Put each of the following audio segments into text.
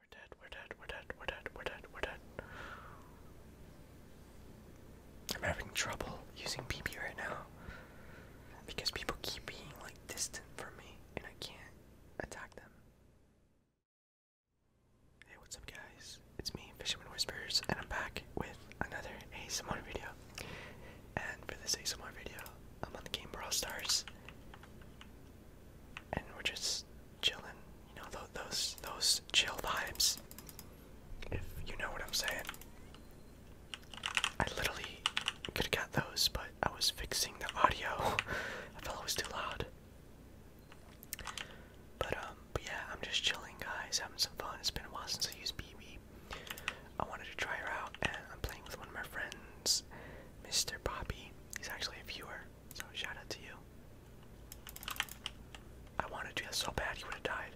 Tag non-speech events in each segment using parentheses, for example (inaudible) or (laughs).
We're dead, we're dead, we're dead, we're dead, we're dead, we're dead. I'm having trouble using PP right now because people keep being like distant from me and I can't attack them. Hey, what's up, guys? It's me, Fisherman Whispers, and I'm back with another ASMR video. And for this ASMR video, I'm on the game Brawl Stars, and we're just chilling. You know those those chill vibes, if you know what I'm saying. I literally could have got those, but I was fixing the audio. (laughs) I felt it was too loud. But um, yeah, I'm just chilling, guys, having some fun. It's been a while since I used BB. I wanted to try her out, and I'm playing with one of my friends, Mr. Poppy. He's actually a viewer, so shout out to you. I wanted to do so bad, he would have died.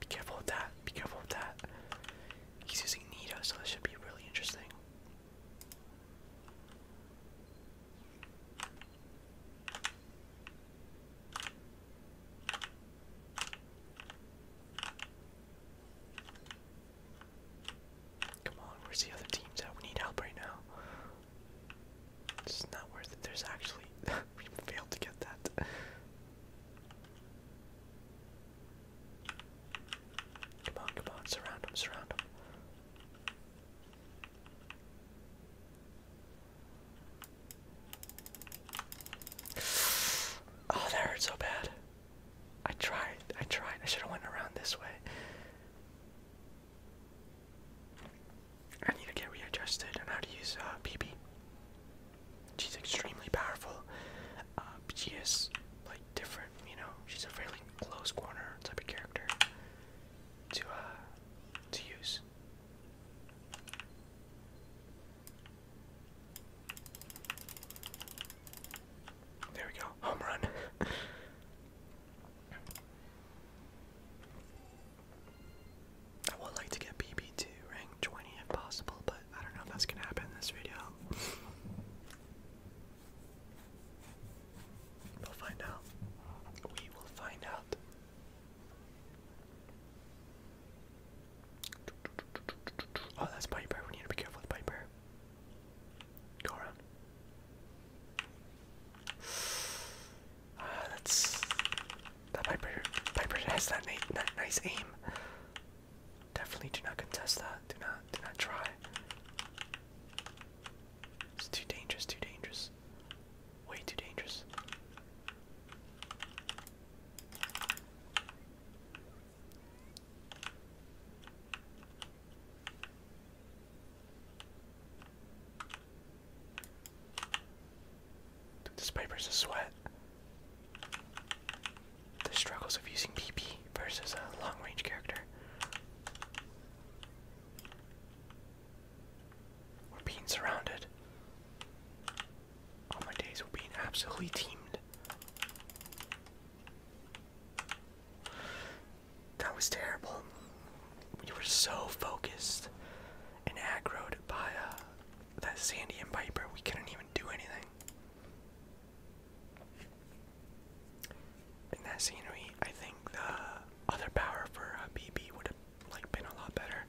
Be careful with that. Be careful with that. He's using Nita, so this should be really interesting. Come on, where's the other teams at? We need help right now. It's not worth it. There's actually. (laughs) we failed to get that. Come on, come on, surround him, surround him. Oh, that hurt so bad. I tried. I tried. I should have went around this way. I need to get readjusted on how to use uh, She's extremely powerful. Uh, she is like different, you know, she's a fairly close corner type of character to uh to use. There we go, home run. (laughs) I would like to get BB to rank 20 if possible, but I don't know if that's gonna happen in this video. We'll find out. We will find out. Oh, that's Piper. We need to be careful with Piper. Go around. Ah, that's that Piper. Piper has that, na that nice aim. Definitely do not contest that. Do not, do not try. It's too dangerous, too dangerous. Way too dangerous. Dude, this paper's a sweat. The struggles of using PP versus a long range character. We're being surrounded. Oh my days, we being absolutely teamed. That was terrible. We were so focused and aggroed by uh, that Sandy and Viper, we couldn't even do anything. In that scenery, I think the other power for a uh, BB would have like been a lot better.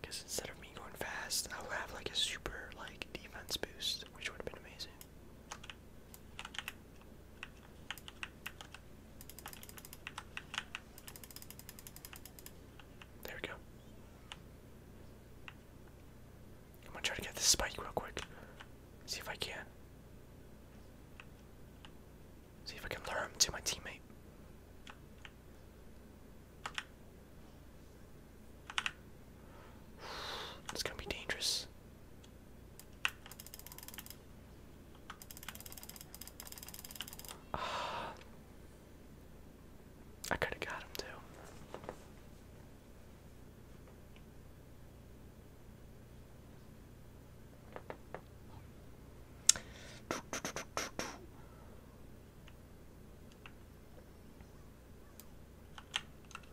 Because instead of me going fast, I would have like a super like defense boost, which would have been amazing. There we go. I'm gonna try to get this spike real quick. See if I can. See if I can lure him to my teammate. It's gonna be dangerous. Ah. I got him too.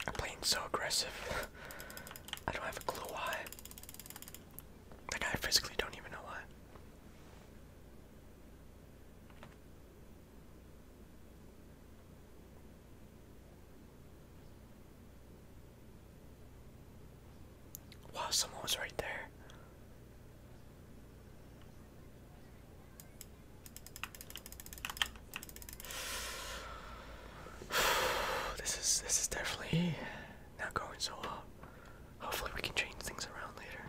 I'm playing so aggressive. (laughs) I don't have a clue why. Like, I physically don't even know why. Wow, someone was right there. (sighs) This is this is definitely not going so well. Hopefully we can change things around later.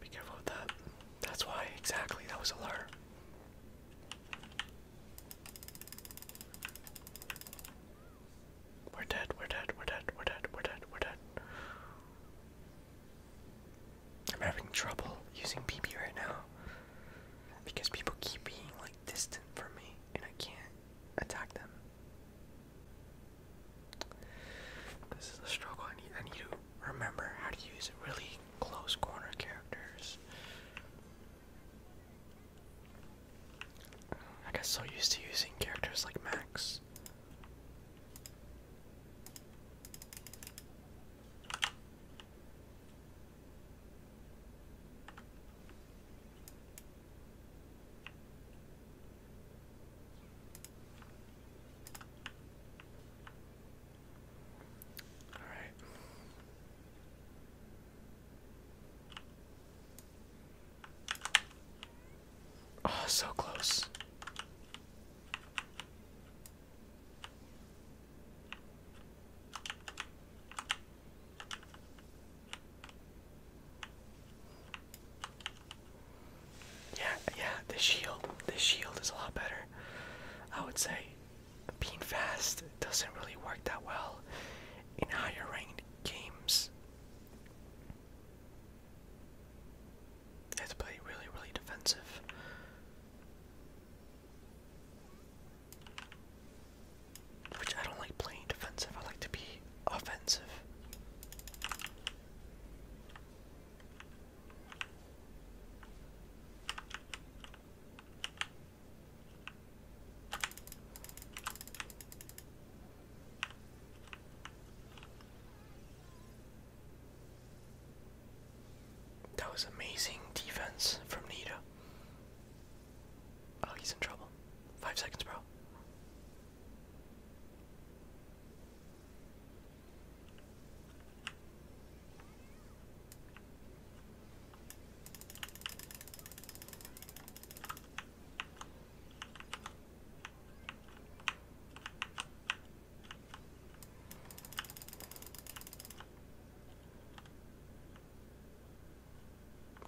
Be careful with that. That's why exactly that was a lure. We're dead, we're dead, we're dead, we're dead, we're dead, we're dead. I'm having trouble using BB right now because people keep being like distant from me and I can't attack them. This is a struggle. I need I need to remember how to use really close corner characters. I got so used to using characters like Max. All right. Oh, so close. Yeah, yeah, the shield, the shield is a lot better. I would say being fast doesn't really work that well in higher ranked games. I have to play really, really defensive. Which I don't like playing defensive, I like to be offensive. That was amazing defense from Nita. Oh, he's in trouble. Five seconds, bro.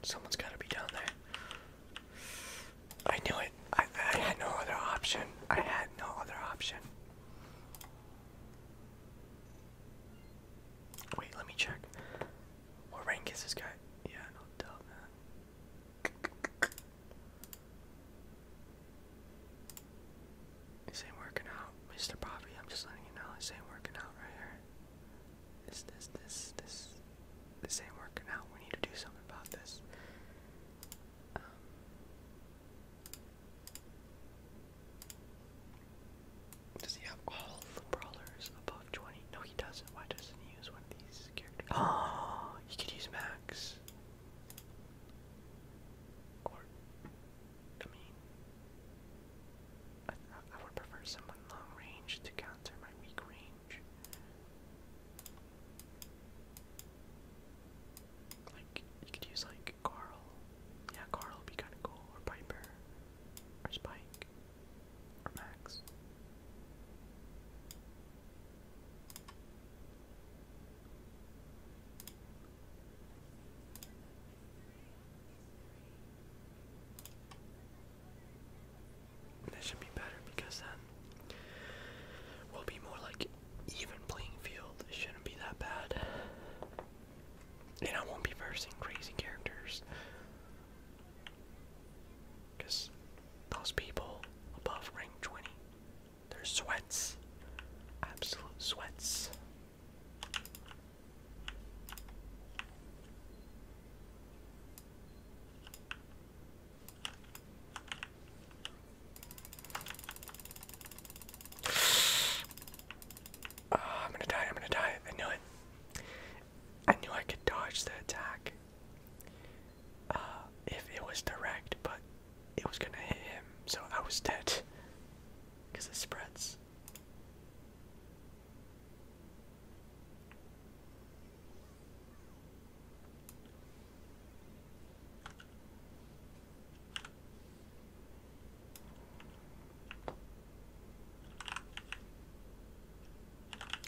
Someone's gotta be down there. I knew it. I, had no other option. I had no other option. Wait, let me check. What rank is this guy? Yeah, no doubt, man. This ain't working out, Mr. Bobby. I'm just letting you know this ain't working out right here. This, this, this, this, this ain't working out. We need to do something about this. Um, does he have all the brawlers above 20? No, he doesn't. Why doesn't he use one of these characters? he (gasps) could use Max. Or, I mean, I, would prefer someone long range to counter my weak range. Like, you could use like Carl. Yeah, Carl would be kind of cool. Or Piper. Or Spike. Or Max. That should be better because then we'll be more like even playing field. It shouldn't be that bad. And I won't be versing crazy characters. Because those people above rank 20 they're sweats. Absolute sweats. (sighs) Ah, I'm gonna die, I'm gonna die. I knew it. I knew I could dodge the attack. Uh, if it was direct, but it was gonna hit him, so I was dead. Because it spreads.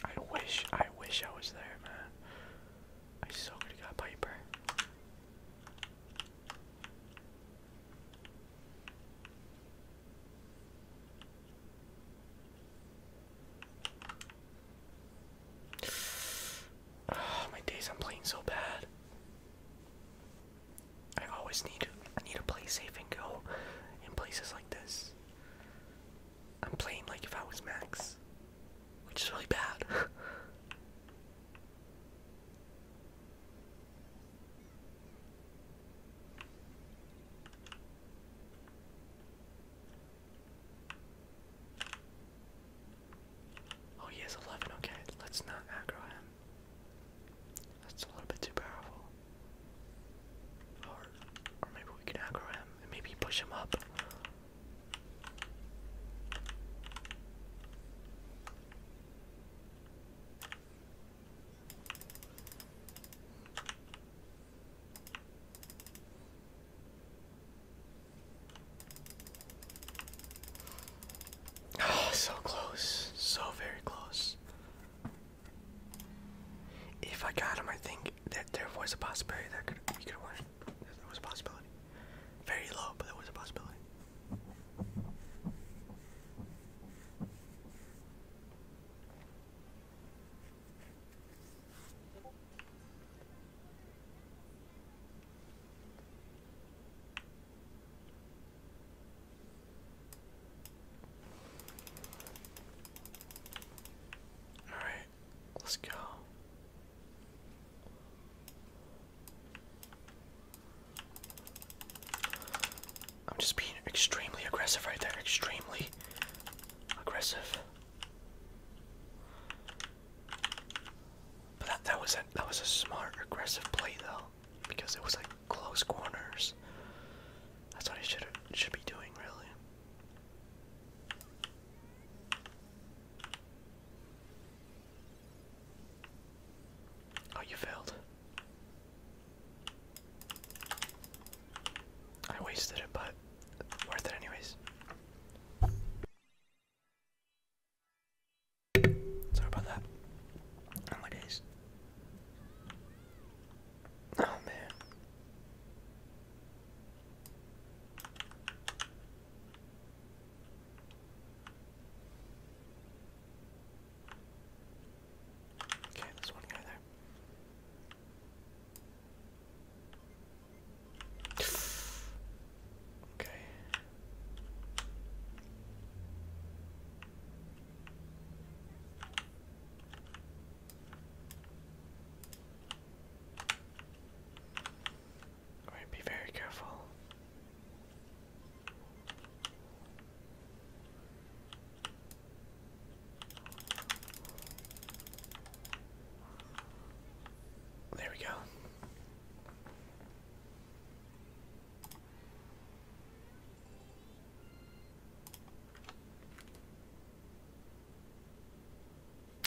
I wish, I wish I was there, man. I so could have got Piper. Oh, my days I'm playing so bad. I always need I need to play safe and go in places like this. I'm playing like if I was Max which is really bad. (laughs) oh, he has 11. Okay, let's not aggro him. That's a little bit too powerful. Or, or maybe we can aggro him and maybe push him up. Oh, so close, so very close. If I got him, I think that there was a possibility that could, we could win. There was a possibility. Very low, but there was a possibility. All right let's go. I'm just being extremely aggressive right there. Extremely aggressive. But that that was a that was a smart aggressive play though. Because it was like close corners. That's what he should should be doing really. Oh, you failed. I wasted it, but worth it anyways. Sorry about that. Oh Oh man. Okay, there's one guy there. Okay be very careful. There we go.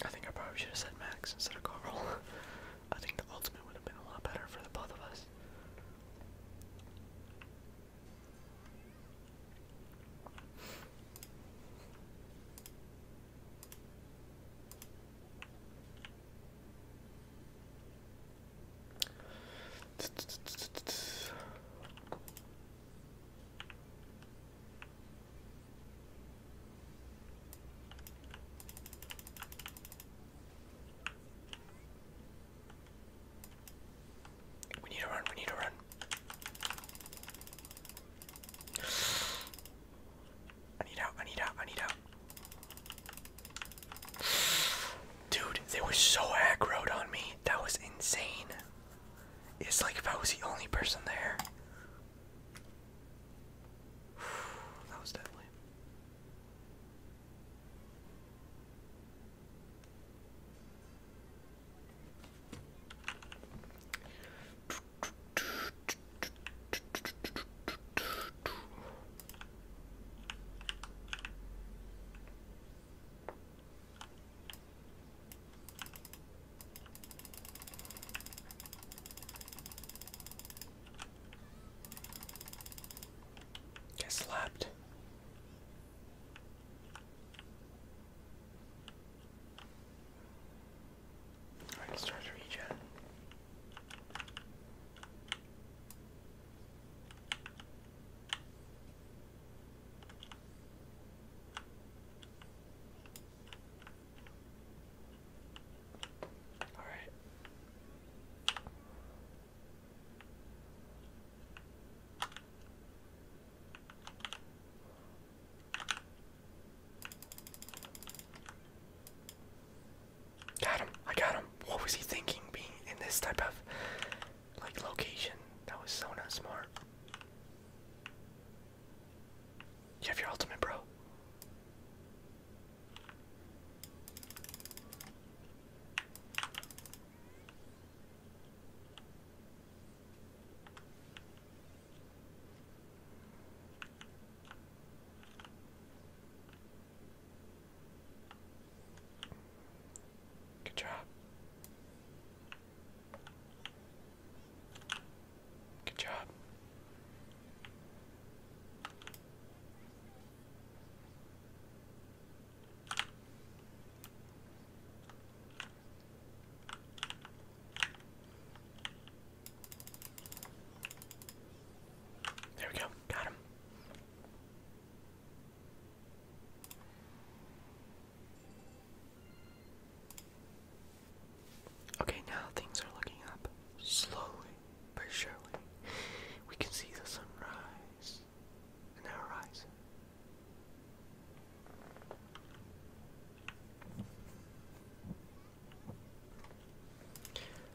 I think I probably should have said Max instead of Carl. (laughs) I think the ultimate would have been a lot better for the both of us. We need to run, we need to run. I need out, I need out, I need out. Dude, they were so aggroed on me. That was insane. It's like if I was the only person there. (sighs) that was deadly. Get slapped. Alright, start to regen. All right. Got him. I got him. What was he thinking being in this type of like location? That was so not smart. You have your ultimate, bro. Good job. Good job. There we go. Got him. Okay, now things are looking up. Slowly but surely. We can see the sunrise in the horizon.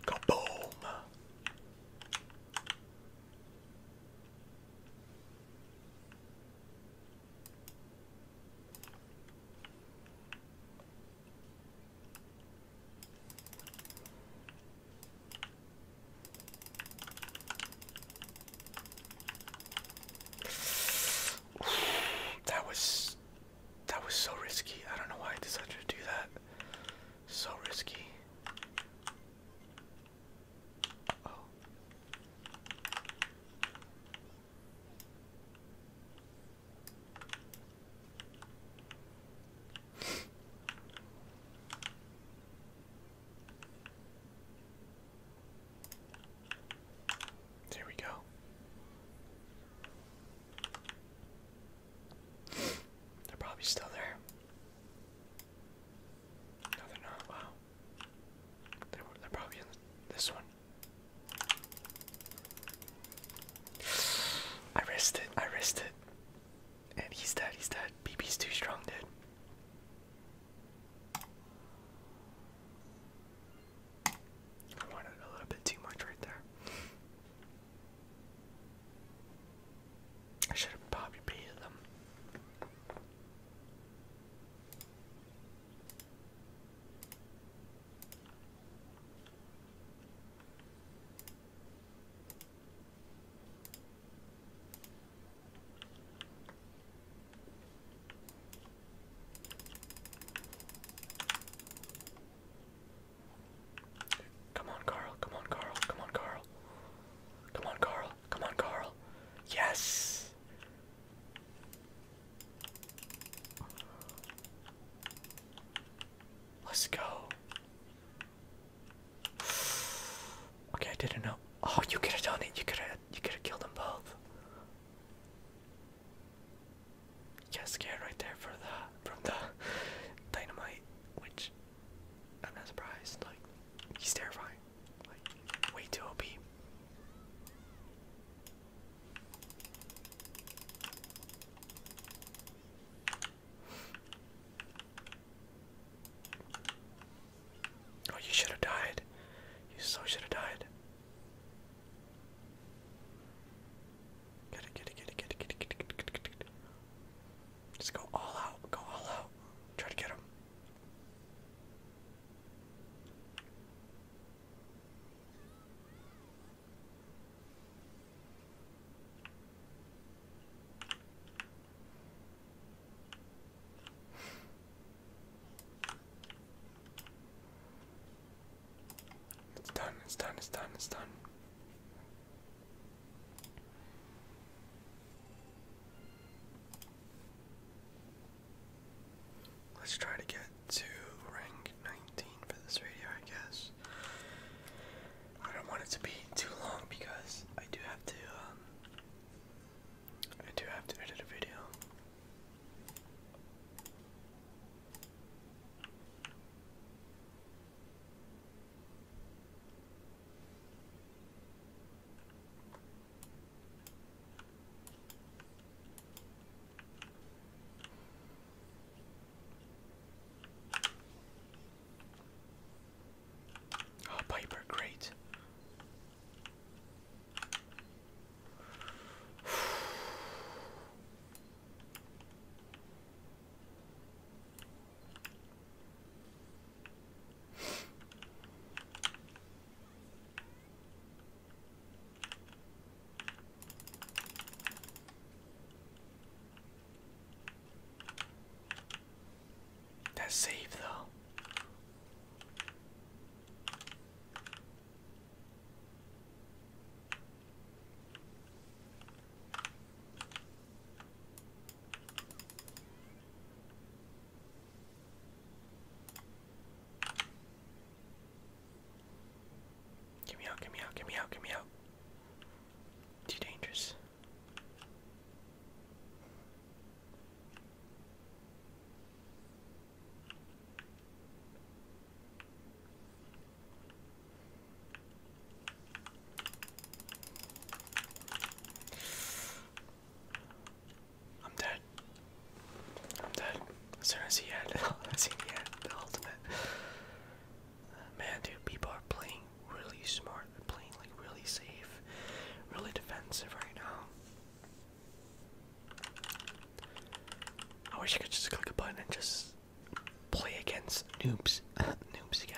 Kaboom! (sighs) That was that was so risky. I don't know why I decided to do that. So risky. oh. There we go. They're probably still there. No, they're not. Wow. They're, they're probably in this one. (sighs) I risked it. I risked it. And he's dead. He's dead. BB's too strong, dude. I wanted a little bit too much right there. I should have probably beaten them. Come on, Carl. Come on, Carl. Come on, Carl. Come on, Carl. Come on, Carl. Yes. Let's go. Okay, I didn't know. Oh, you could have done it. You could have. You could have killed them both. Get scared right there for the from the dynamite, which I'm not surprised. Like he's terrifying. Like way too OP. Oh, you should have died. You so should have died. Get it, get it, get it, get it, get it, get it, get it, get it. Just go all out. Go all out. Try to get him. It's done, it's done, it's done, it's done. Let's try to get to rank 19 for this video, I guess. I don't want it to be too long because I do have to, um, I do have to edit a video. Oh, Piper, great. That's safe though. Get me out, get me out, get me out, get me out. Too dangerous. I'm dead. I'm dead. As soon as he had, (laughs) as soon as he had the ultimate. Man, dude, people are playing really smart. They're playing like really safe, really defensive right now. I wish I could just click a button and just play against noobs, (laughs) noobs again.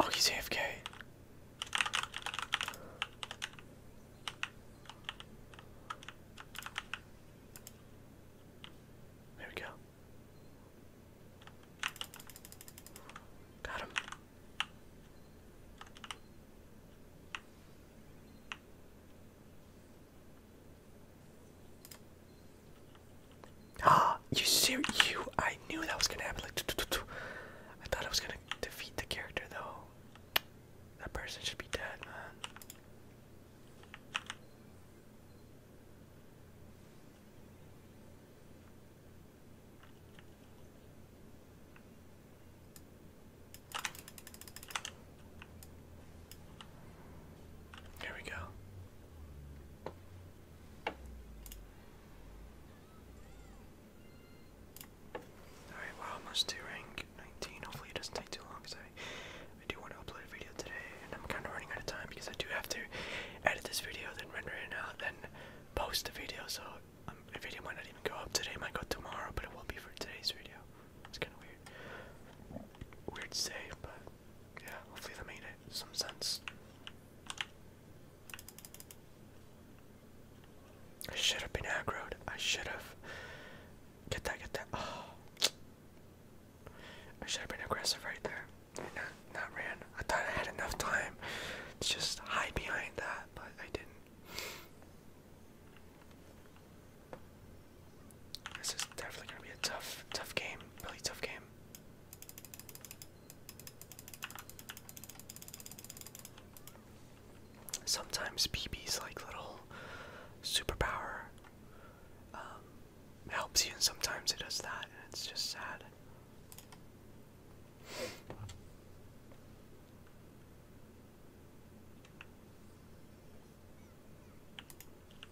Oh, he's AFK. There we go. Got him. Ah, (gasps) you see, You? I knew that was gonna happen. Like, I thought I was gonna defeat the character though. That person should be dead, man. There we go. Alright, we're almost to rank 19. Hopefully it not take too long because I, do want to upload a video today and I'm kind of running out of time because I do have to edit this video, then render it out, then post the video. So my um, video might not even go up today, might go tomorrow, but it will be for today's video. It's kind of weird. Weird to say, but yeah, hopefully that made it some sense. I should have been aggroed. I should have. Get that, get that. Oh. I should have been aggressive right there. Not, not ran. I thought I had enough time to just hide behind that, but I didn't. This is definitely gonna be a tough, tough game. Really tough game. Sometimes BB's like little superpower um, helps you, and sometimes it does that, and it's just sad.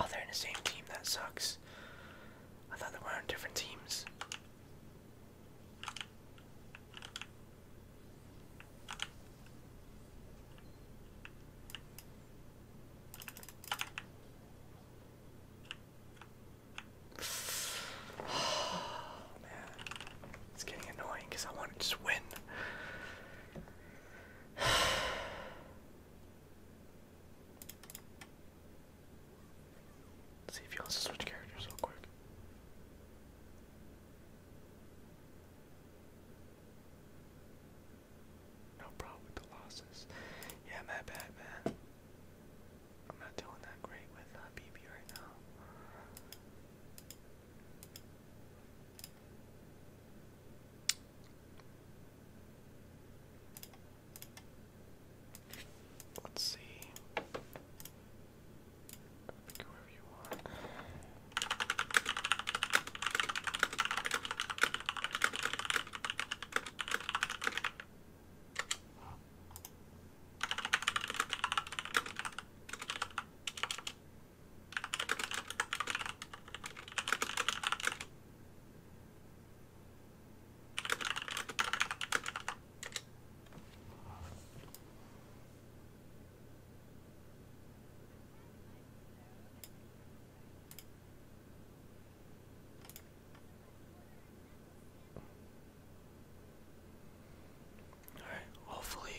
Oh, they're in the same team. That sucks. I thought they were on different teams. Oh, man, it's getting annoying because I want to just win. see if you also switch characters real quick. No problem with the losses. Yeah, my bad, man. I'm not doing that great with BB uh, right now. Let's see. Pick whoever you want. Alright, hopefully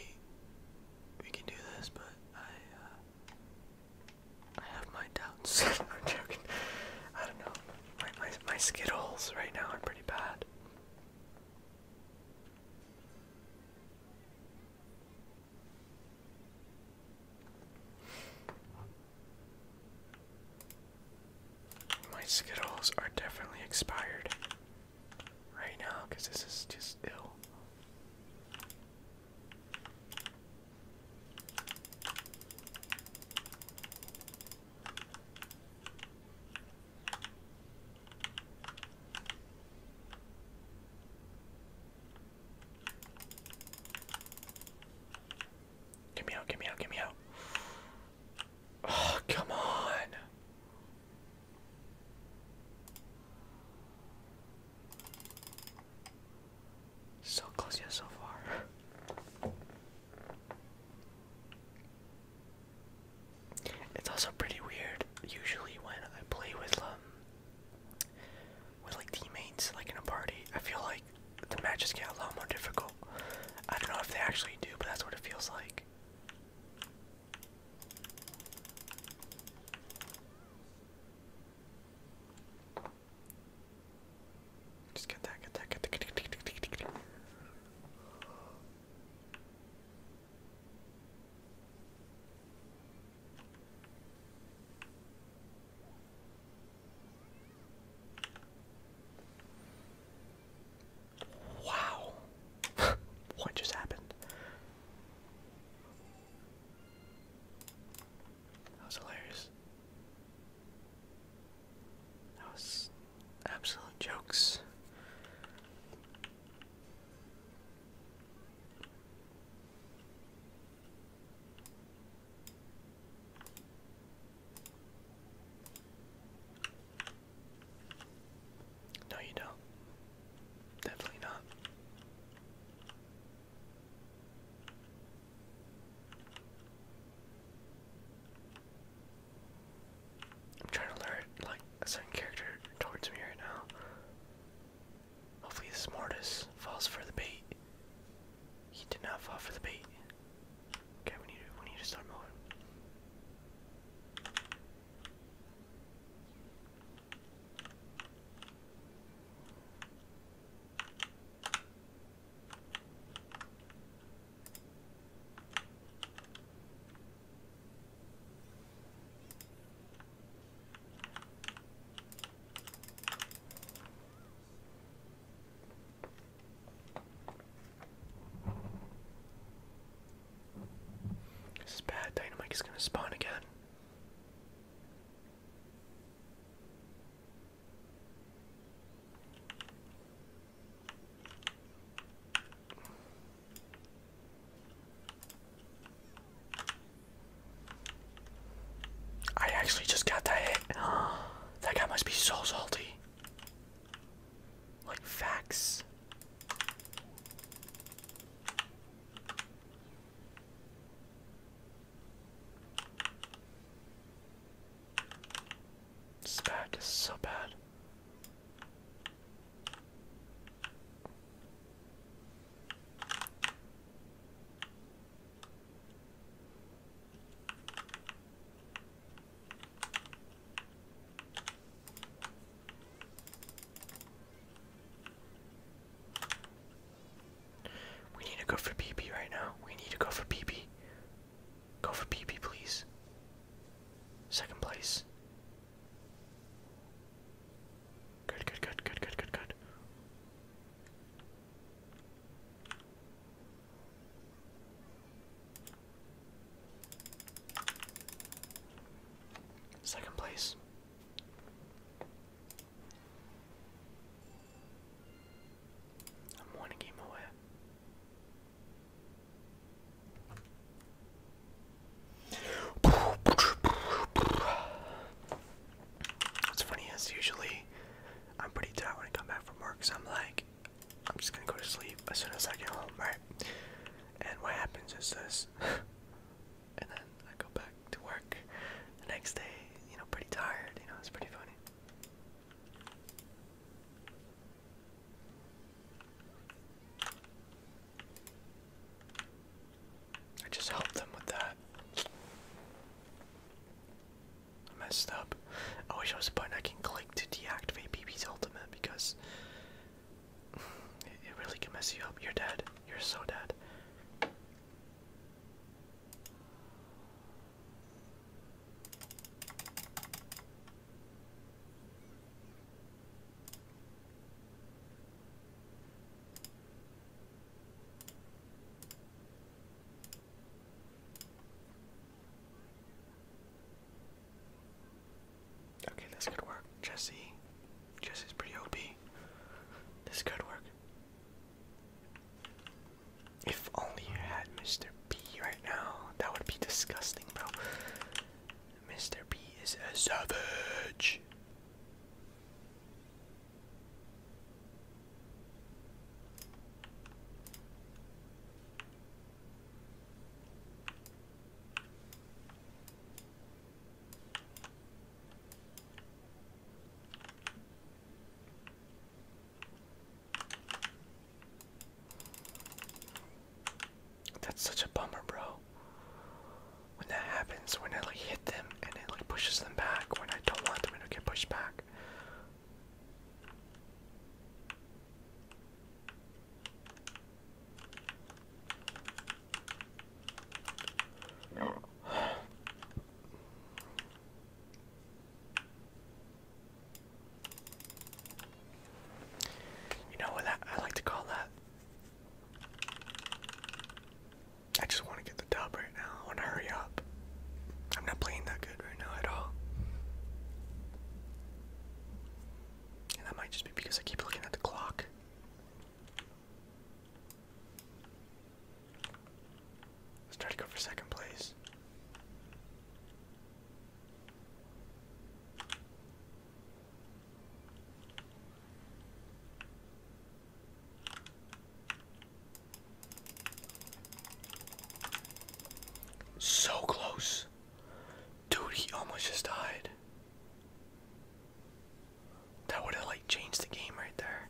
we can do this, but I uh, I have my doubts. (laughs) I'm joking. I don't know. My my my skid right now are pretty bad. My Skittles are definitely expired right now because this is just ill. Get me out, get me out, get me out. Oh, come on. So close yet so far. It's also pretty weird. Usually when I play with um with like teammates, like in a party, I feel like the matches get a lot more difficult. I don't know if they actually do, but that's what it feels like. Just get that, get that, get that. Wow. (laughs) what just happened? That was hilarious. That was absolute jokes. No, you don't. Definitely not. I'm trying to lure like a certain character towards me right now. Hopefully this mortis falls for the bait. He did not fall for the bait. Okay, we need to we need to start moving. This is bad. Dynamite is going to spawn again. I actually just got that (gasps) that guy must be so salty. Like facts. This back is so bad. We need to go for PP right now. We need to go for PP. Go for PP, please. Second place. Good, good, good, good, good, good, good. Second place. I'm one game away. That's funny is usually I'm pretty tired when I come back from work, so I'm like, I'm just gonna go to sleep as soon as I get home, right? And what happens is this, (laughs) and then I go back to work the next day, you know, pretty tired, you know, it's pretty funny. I just helped them with that. I messed up. I wish there was a button I can click to deactivate BB's ultimate because it really can mess you up. You're dead. You're so dead. Okay, this could work. Jesse. Jesse's pretty OP. This could work. If only you had Mr. B right now, that would be disgusting, bro. Mr. B is a savage. That's such a bummer, bro. When that happens, when I like hit them and it like pushes them back, when I don't want them to get pushed back. You know what that, I like to call that? I just want to get the dub right now. I want to hurry up. I'm not playing that good right now at all. And that might just be because I keep looking at the clock. Let's try to go for second place. So close. Dude, he almost just died. That would have like changed the game right there.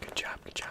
Good job, good job.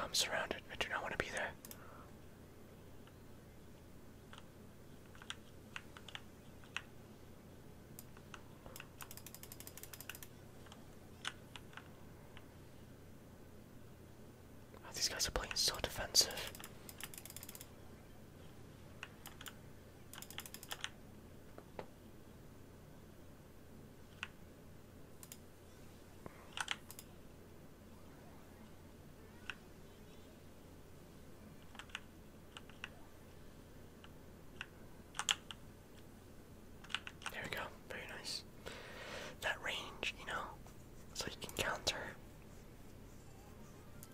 I'm surrounded. I do not want to be there. Oh, these guys are playing so defensive. There we go, very nice. That range, you know, so you can counter.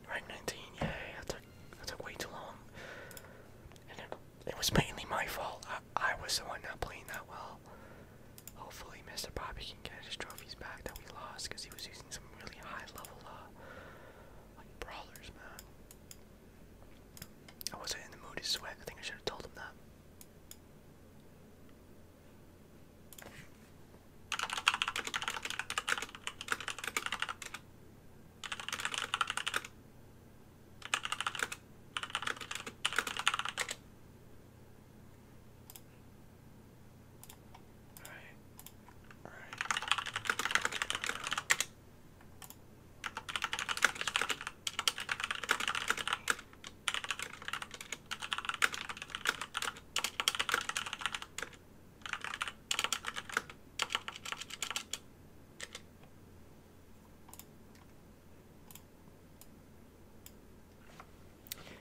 Rank 19, yeah, that took, that took way too long it was mainly my fault. I, was the one not playing that well. Hopefully, Mr. Bobby can get his trophies back that we lost because he was using some really high level, uh, like brawlers, man. I wasn't in the mood to sweat. I think I should have told him that. Alright. Alright.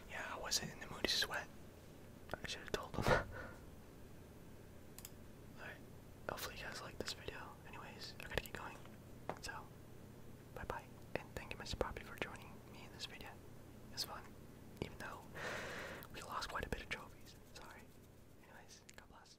Yeah, I wasn't in the mood to sweat. I should have told them. (laughs) Alright, hopefully you guys liked this video. Anyways, I gotta get going. So, bye bye. And thank you, Mr. Poppy, for joining me in this video. It was fun, even though we lost quite a bit of trophies. Sorry. Anyways, God bless.